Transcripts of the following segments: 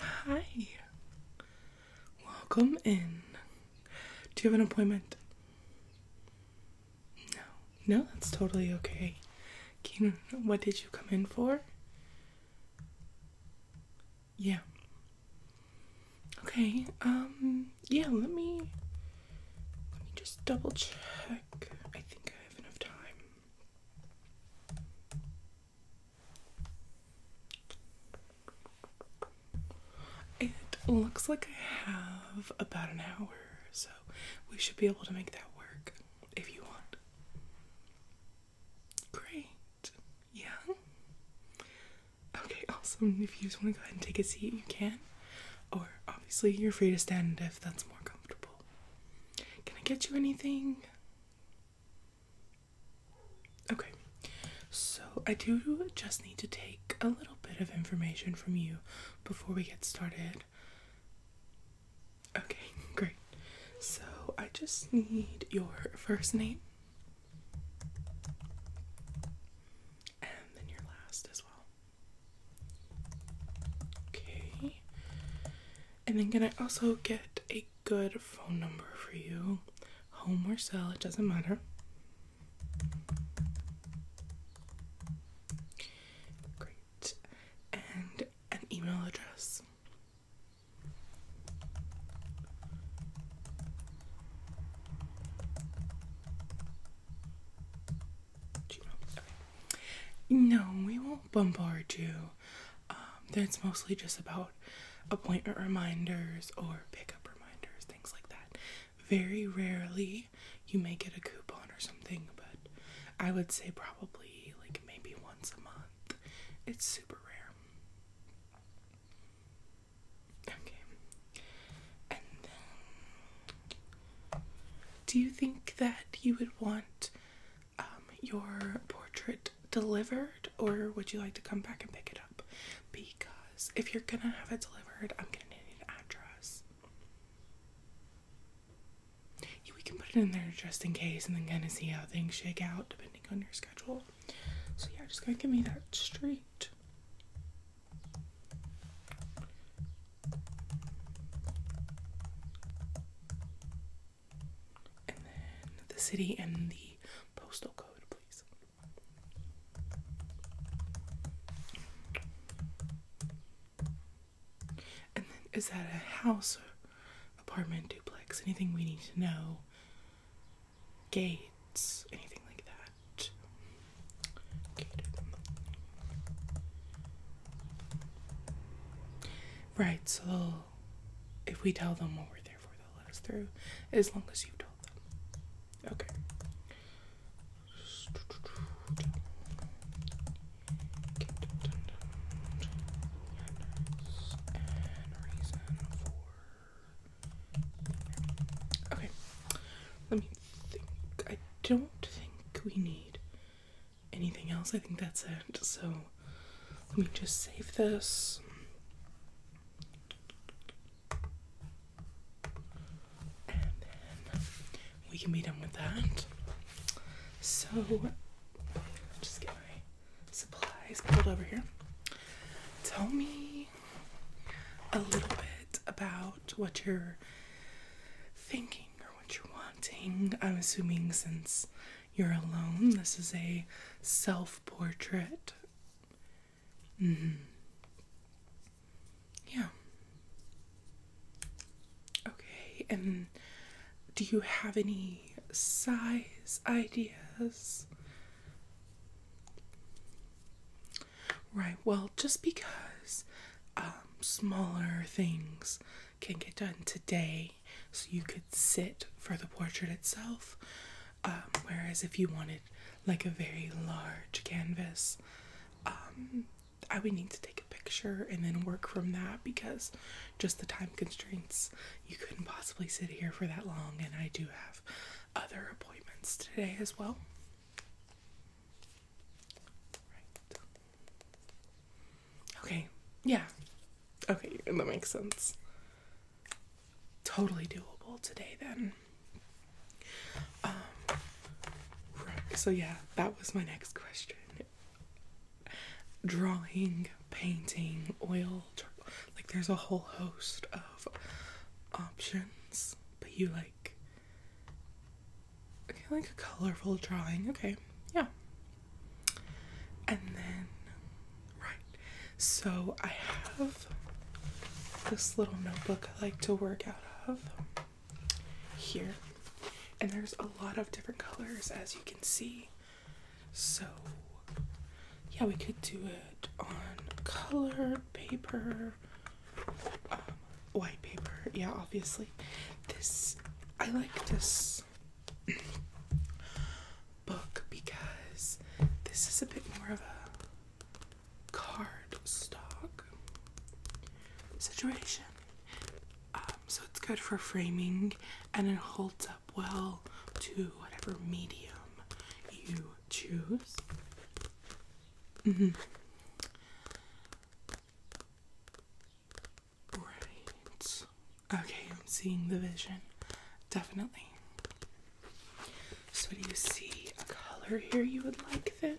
Hi. Welcome in. Do you have an appointment? No. No, that's totally okay. Keenan, what did you come in for? Yeah. Okay. Um. Yeah. Let me. Let me just double check. I think I have enough time. It looks like I have about an hour, so we should be able to make that work if you want. Great. Yeah. Okay, awesome. If you just want to go ahead and take a seat, you can. Or obviously, you're free to stand if that's more comfortable. Can I get you anything? Okay, so I do just need to take a little bit of information from you before we get started. Okay, great. So I just need your first name and then your last as well. Okay. And then can I also get a good phone number for you? Home or cell, it doesn't matter. Great. And an email address. No, we won't bombard you. Um, that's mostly just about appointment reminders or pickup reminders, things like that. Very rarely you may get a coupon or something, but I would say probably like maybe once a month. It's super rare. Okay. And then, do you think that you would want um, your portrait delivered, or would you like to come back and pick it up? Because if you're gonna have it delivered, I'm gonna need an address. Yeah, we can put it in there just in case, and then kind of see how things shake out depending on your schedule. So yeah, just gonna give me that street, And then the city and the postal code, please. And then is that a house, or apartment, duplex? Anything we need to know? gates, anything like that. Right, so if we tell them what we're there for, they'll let us through as long as you've told them. Okay. Okay, let me think. I don't think we need anything else. I think that's it. So let me just save this. And then we can be done with that. So, just get my supplies pulled over here. Tell me a little bit about what you're thinking or what you're wanting. I'm assuming since you're alone, this is a self portrait. Mm -hmm. Yeah. Okay, and do you have any size ideas? Right, well, just because um, smaller things can get done today, so you could sit for the portrait itself, um, whereas if you wanted like a very large canvas, um, I would need to take a picture and then work from that because just the time constraints you couldn't possibly sit here for that long, and I do have other appointments today as well. Okay, yeah. Okay, and that makes sense. Totally doable today then. Um, So yeah, that was my next question. Drawing painting, oil, like there's a whole host of options, but you like okay, like a colorful drawing. Okay. Yeah. And then right. So I have this little notebook I like to work out of here. And there's a lot of different colors as you can see. So, yeah, we could do it on colored paper, um, white paper. Yeah, obviously. This, I like this book because this is a bit more of a card stock situation. Um, so it's good for framing and it holds up well to whatever medium you choose. Mm-hmm. Right. Okay, I'm seeing the vision. Definitely. So, do you see a color here you would like then?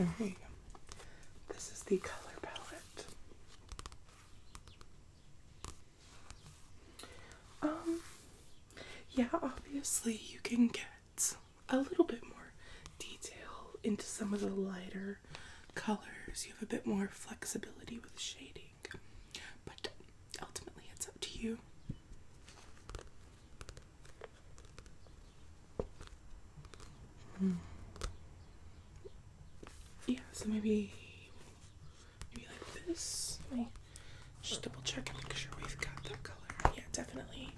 Oh, here you go. This is the color palette. Um, yeah, obviously you can get a little bit more detail into some of the lighter colors. You have a bit more flexibility with shading, but ultimately it's up to you. Hmm yeah, so maybe maybe like this. Let me just double check and make sure we've got that color. Yeah, definitely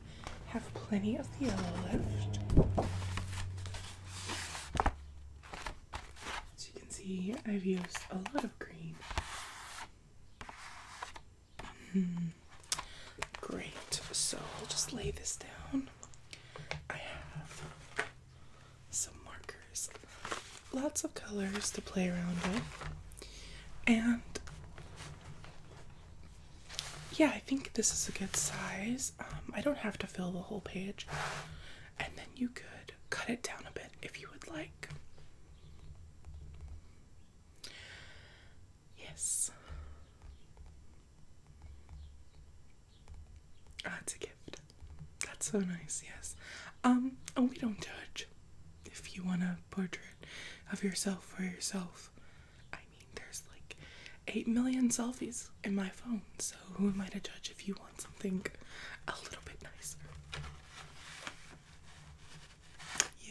have plenty of yellow left. As you can see, I've used a lot of green. Mm. Great, so I'll just lay this down. I have some markers, lots of colors to play around with, and yeah, I think this is a good size. Um, I don't have to fill the whole page, and then you could cut it down a bit if you would like. Yes. That's ah, a gift. That's so nice, yes. Um, oh, we don't judge. If you want a portrait of yourself for yourself, I mean, there's like 8 million selfies in my phone, so who am I to judge if you want something a little bit nicer?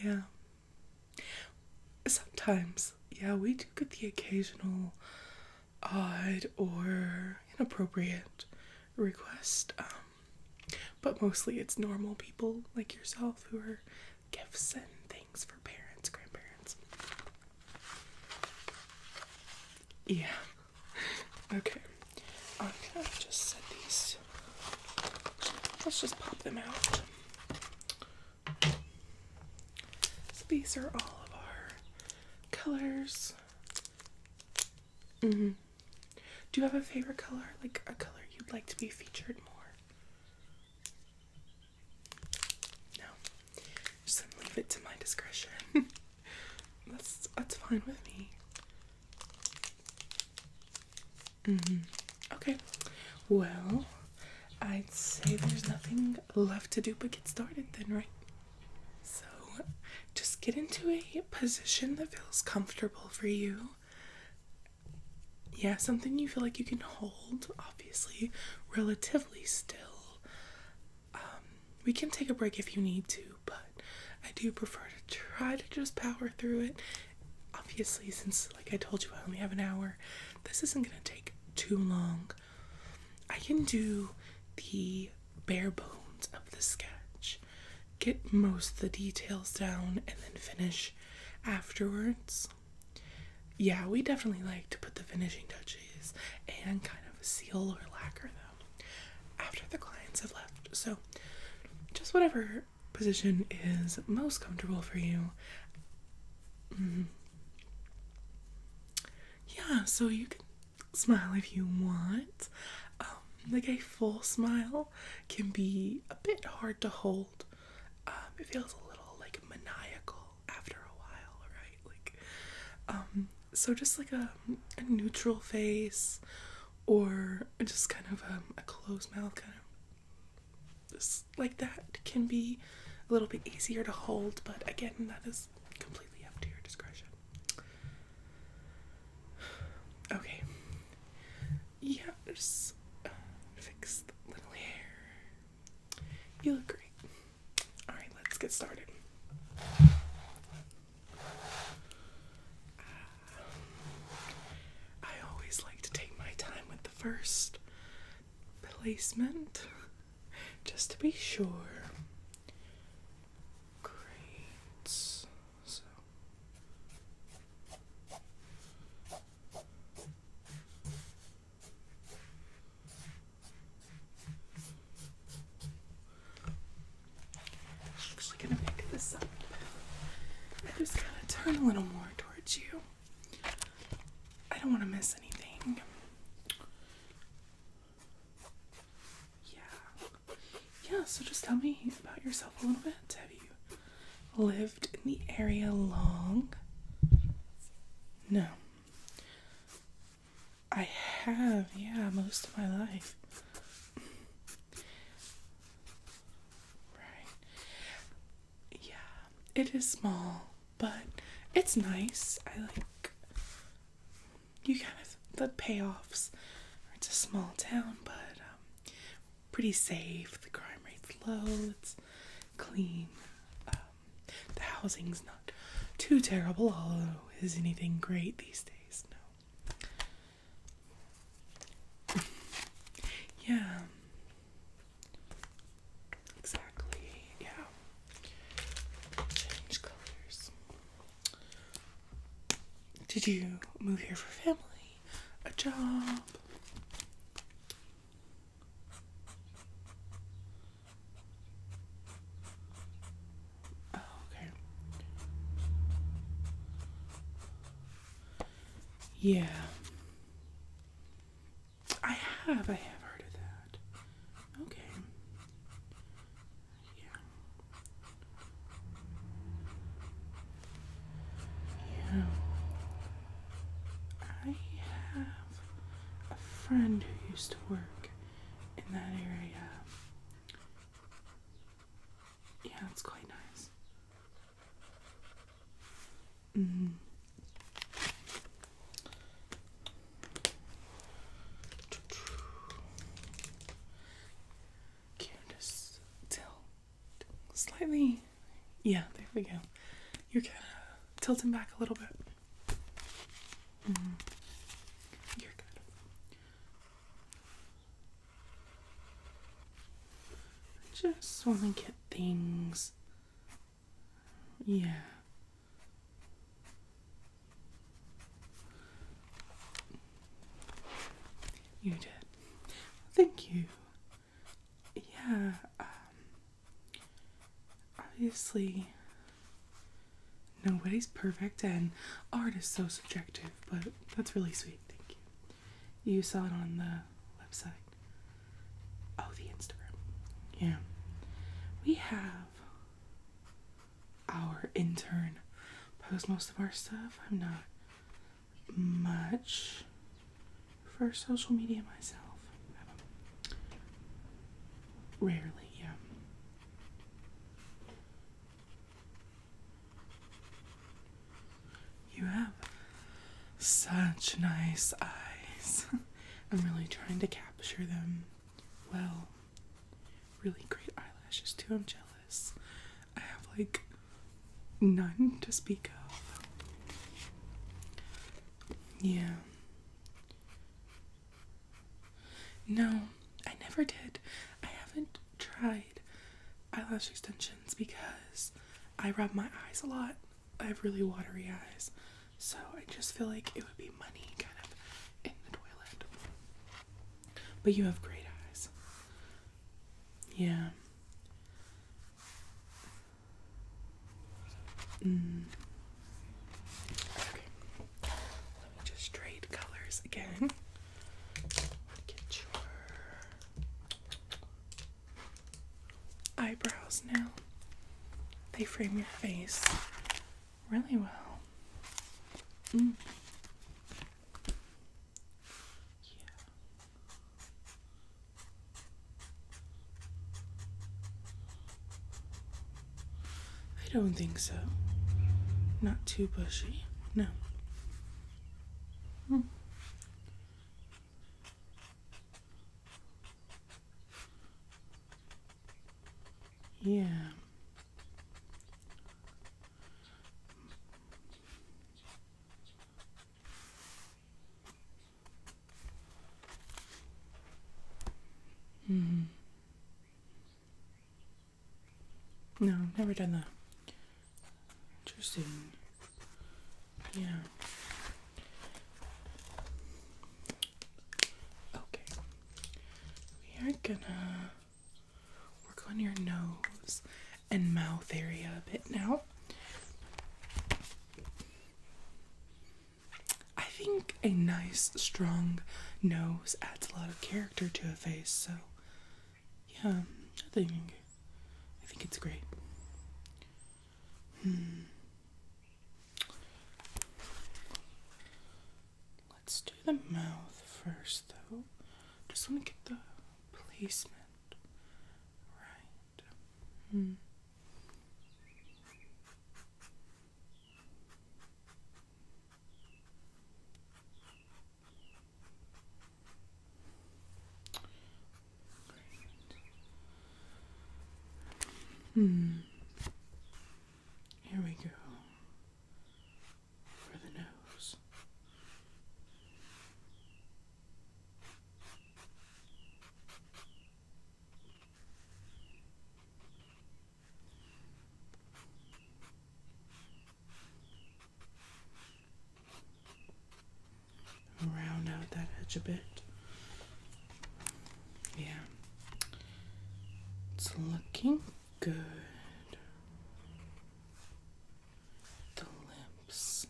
Yeah. Sometimes, yeah, we do get the occasional odd or inappropriate request, um, but mostly it's normal people like yourself who are gifts and things for parents, grandparents. Yeah. Okay. I'm gonna just set these. Let's just pop them out. So these are all of our colors. Mm-hmm. Do you have a favorite color? Like a color you'd like to be featured more? No. Just leave it to my discretion. that's that's fine with me. Mm-hmm. Okay. Well, I'd say there's nothing left to do but get started then, right? So just get into a position that feels comfortable for you. Yeah, something you feel like you can hold, obviously, relatively still. Um, we can take a break if you need to, but I do prefer to try to just power through it. Obviously, since, like I told you, I only have an hour, this isn't going to take too long. I can do the bare bones of the sketch, get most of the details down, and then finish afterwards. Yeah, we definitely like to put the finishing touches and kind of seal or lacquer them after the clients have left. So, just whatever position is most comfortable for you. Mm-hmm yeah, so you can smile if you want. Um, like a full smile can be a bit hard to hold. Um, it feels a little like maniacal after a while, right? Like, um, so just like a, neutral face or just kind of a closed mouth, kind of just like that can be a little bit easier to hold, but again, that is completely up to your discretion. Okay. Yeah, fix the little hair. You look great. Alright, let's get started. Ah. I always like to take my time with the first placement just to be sure. Great. So actually gonna pick this up. I just gotta turn a little more towards you. I don't want to miss anything. Yeah. Yeah, so just tell me about yourself a little bit. Have you lived in the area long? No. I have, yeah, most of my life. Right. Yeah, it is small but it's nice. I like you kind of the payoffs. It's a small town, but um, pretty safe. The crime rate's low. It's clean. Um, the housing's not too terrible, although is anything great these days? No. yeah. Exactly, yeah. Change colors. Did you move here for family? A job? Oh, okay. Yeah. I have, I have heard of that. Okay. Yeah. Yeah. I have a friend who used to work in that area. Yeah, it's quite nice. Mm. Can tilt slightly. Yeah, there we go. You're kind of tilting back a little bit. Mm You're good. Just want to get things yeah. You did. Thank you. Yeah, um, obviously, nobody's perfect and art is so subjective, but that's really sweet. Thank you. You saw it on the website. Oh, the Instagram. Yeah. We have our intern post most of our stuff. I'm not much for social media myself. Rarely, yeah. You have such nice eyes. I'm really trying to capture them well. Really great eyelashes, too. I'm jealous. I have like none to speak of. Yeah. No, I never did. I haven't tried eyelash extensions because I rub my eyes a lot I have really watery eyes, so I just feel like it would be money kind of in the toilet. But you have great eyes. Yeah. Mm. Let me just trade colors again. Mm-hmm. Get your eyebrows now. They frame your face really well. Mm. Yeah. I don't think so. Not too bushy. No. Mm. Yeah. Mm. No, never done that. Interesting. Yeah. Okay. We are gonna work on your nose and mouth area a bit now. I think a nice, strong nose adds a lot of character to a face, so yeah, I think I think it's great. Hmm. Let's do the mouth first, though. Just want to get the placement right. Hmm. Hmm. Here we go. For the nose round out that edge a bit. Yeah, it's looking good. The lips.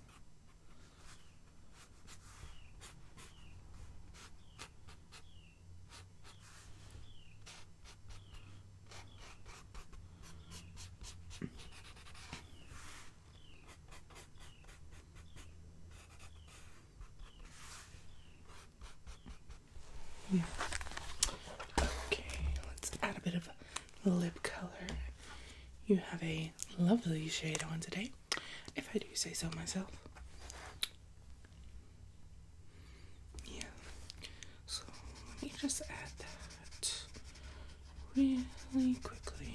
Yeah. Okay, let's add a bit of lip color. You have a lovely shade on today, if I do say so myself. Yeah. So let me just add that. Really quickly.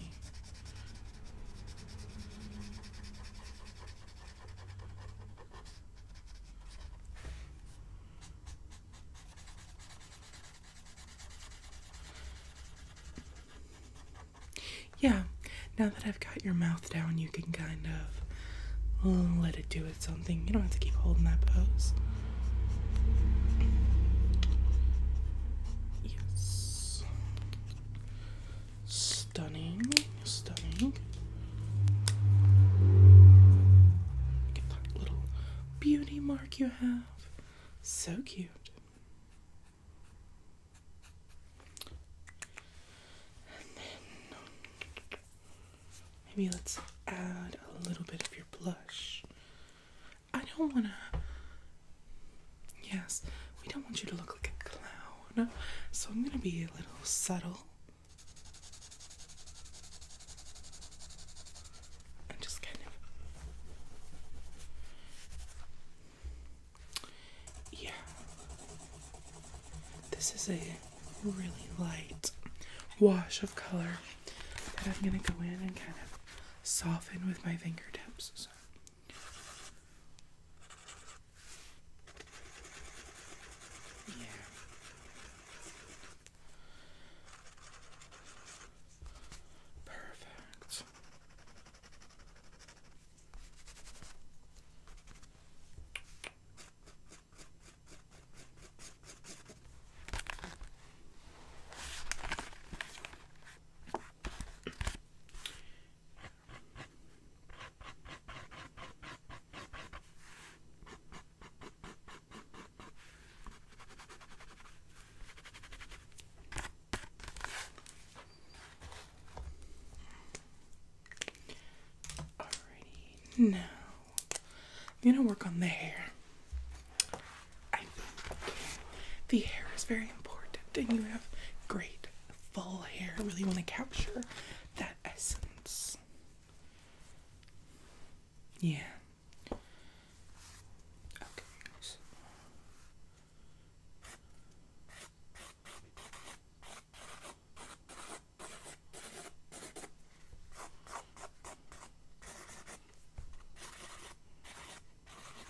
Yeah, now that I've got your mouth down, you can kind of let it do its own thing. You don't have to keep holding that pose. Yes. Stunning, stunning. Look that little beauty mark you have. So cute. maybe let's add a little bit of your blush. I don't wanna. Yes, we don't want you to look like a clown, so I'm gonna be a little subtle. I'm just kind of. Yeah. This is a really light wash of color that I'm gonna go in and kind of soften with my fingertips. Yeah. Perfect. Alrighty, now I'm gonna work on the hair the hair is very important, and you have great full hair. I really want to capture that essence. Yeah. Okay.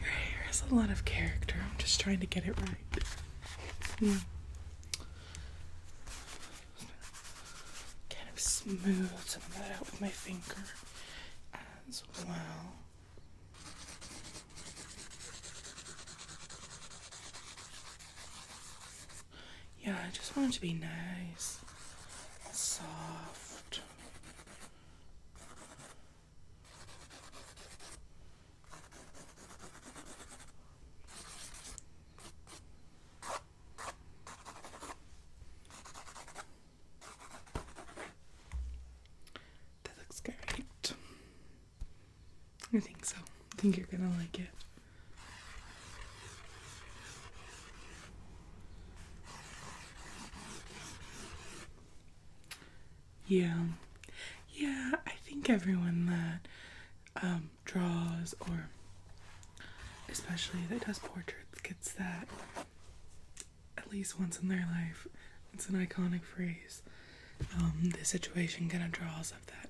Your hair has a lot of character. I'm just trying to get it right. Mm. Kind of smooth some of that out with my finger as well. Yeah, I just want it to be nice, soft. That looks great. I think so. I think you're gonna like it. Yeah. Yeah, I think everyone that um, draws or especially that does portraits gets that at least once in their life. It's an iconic phrase. Um, the situation kind of draws up that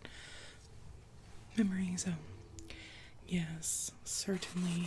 memory. So, yes, certainly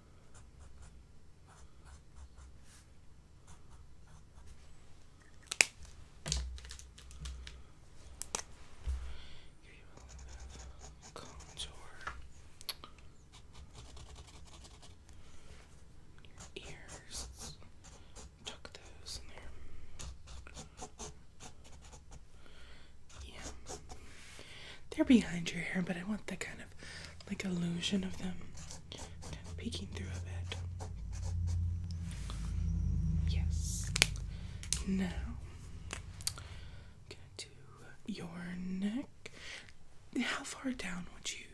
Give you Your ears. tuck those in there. Yeah. They're behind your hair, but I want the kind of like illusion of them kind of peeking through a bit. Yes. Now, gonna do your neck. How far down would you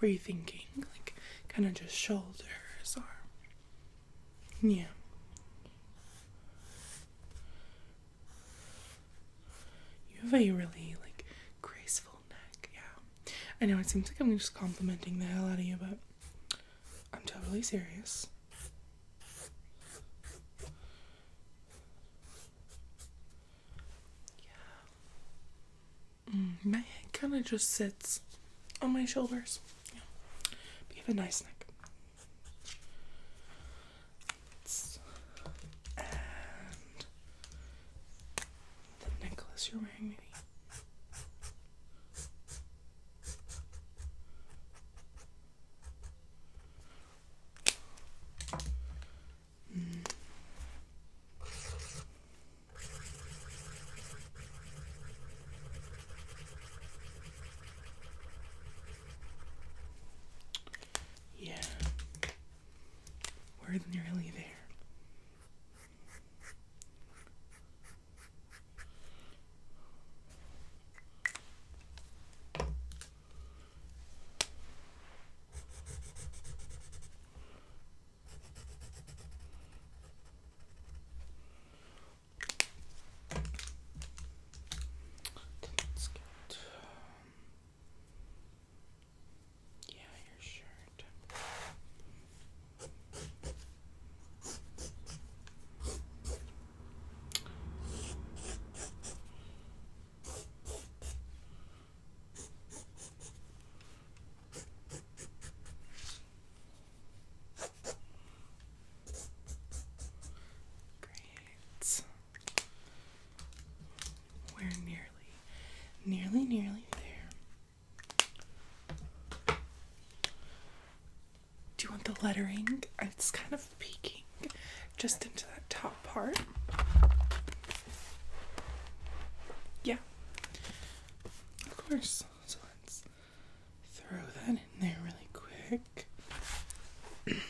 were you thinking? Like kind of just shoulders or yeah. You have a really like graceful neck, yeah. I know it seems like I'm just complimenting the hell out of you, but I'm totally serious. Yeah. Mm, my head kind of just sits on my shoulders. Yeah. But you have a nice neck and the necklace you're wearing, maybe. Hmm. Yeah, we're nearly there. Let's yeah, your shirt. Great. We're nearly, nearly, nearly there. Do you want the lettering? It's kind of peeking just into that top part. Yeah, of course. So let's throw that in there really quick.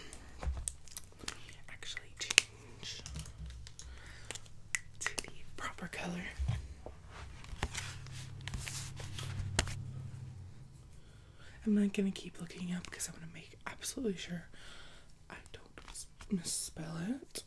actually change to the proper color. I'm not gonna keep looking up because I want to make absolutely sure I don't misspell it.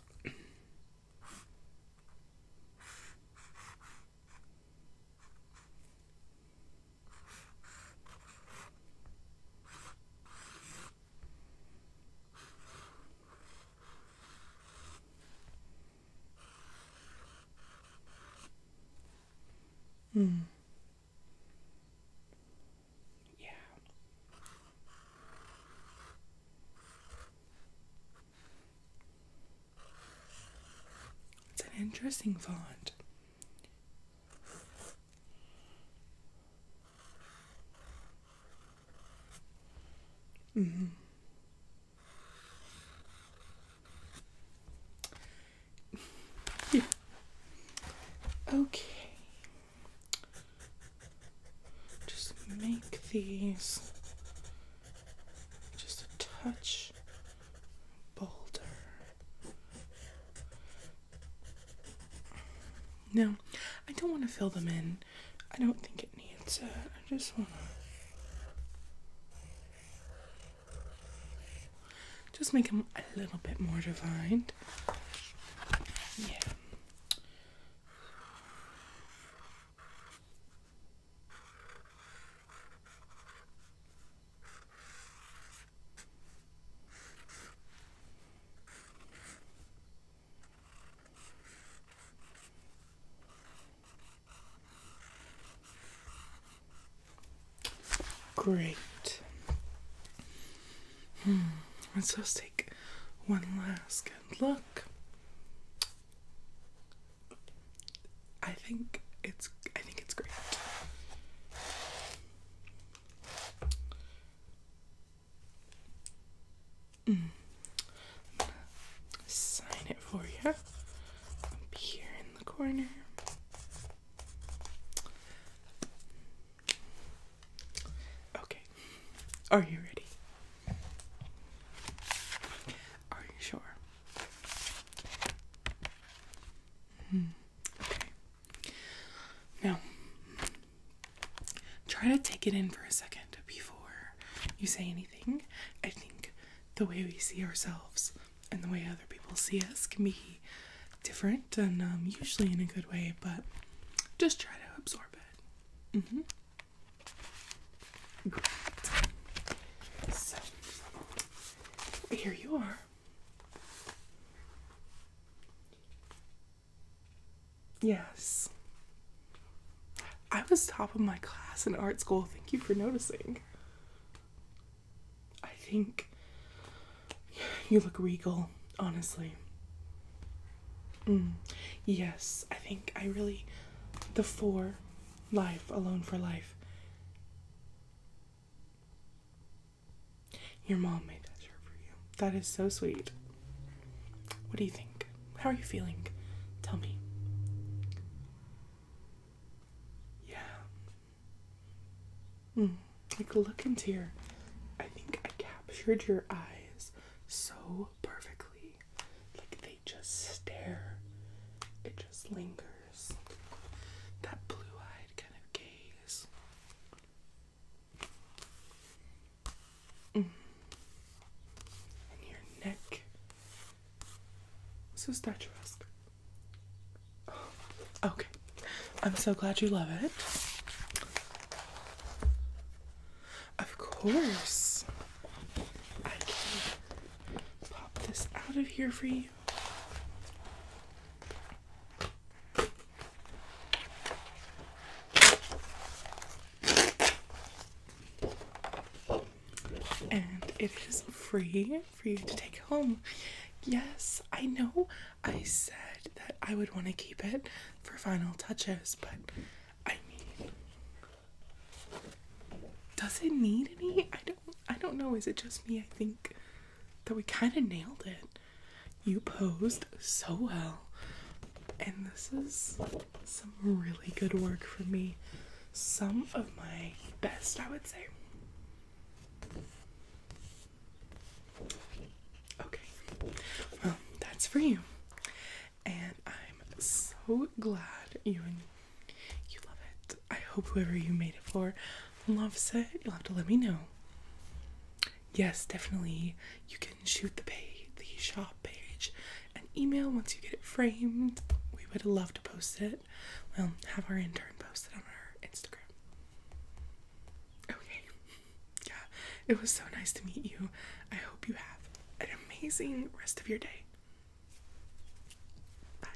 Mm. Yeah. It's an interesting font. Mm-hmm. Okay. Just make these just a touch bolder. No, I don't want to fill them in. I don't think it needs uh, I just want to just make them a little bit more defined. Yeah. Great. Hmm. Let's just take one last good look. I think it's I think it's great. Mm. Sign it for you. Up here in the corner. Okay. Are you ready? Are you sure? Mm. Okay. Now, try to take it in for a second before you say anything. I think the way we see ourselves and the way other people see us can be different and um, usually in a good way, but just try to absorb it. Mm-hmm. Great. here you are. Yes. I was top of my class in art school. Thank you for noticing. I think you look regal, honestly. Mm. Yes, I think I really. The four, life, alone for life. Your mom made that shirt for you. That is so sweet. What do you think? How are you feeling? Tell me. Yeah. Mm, like look into your. I think I captured your eyes so perfectly. Like they just stare. It just lingers colors, that blue eyed kind of gaze. Mm. And your neck. So statuesque. Oh, okay. I'm so glad you love it. Of course. I can pop this out of here for you. And it is free for you to take home. Yes, I know I said that I would want to keep it for final touches, but I mean does it need any? I don't I don't know, is it just me? I think that we kind of nailed it. You posed so well. And this is some really good work for me. Some of my best, I would say. Okay, well, that's for you. And I'm so glad you and you love it. I hope whoever you made it for Love it, you'll have to let me know. Yes, definitely. You can shoot the page, the shop page, and email once you get it framed. We would love to post it. We'll have our intern post it on our Instagram. Okay. Yeah, it was so nice to meet you. I hope you have an amazing rest of your day. Bye.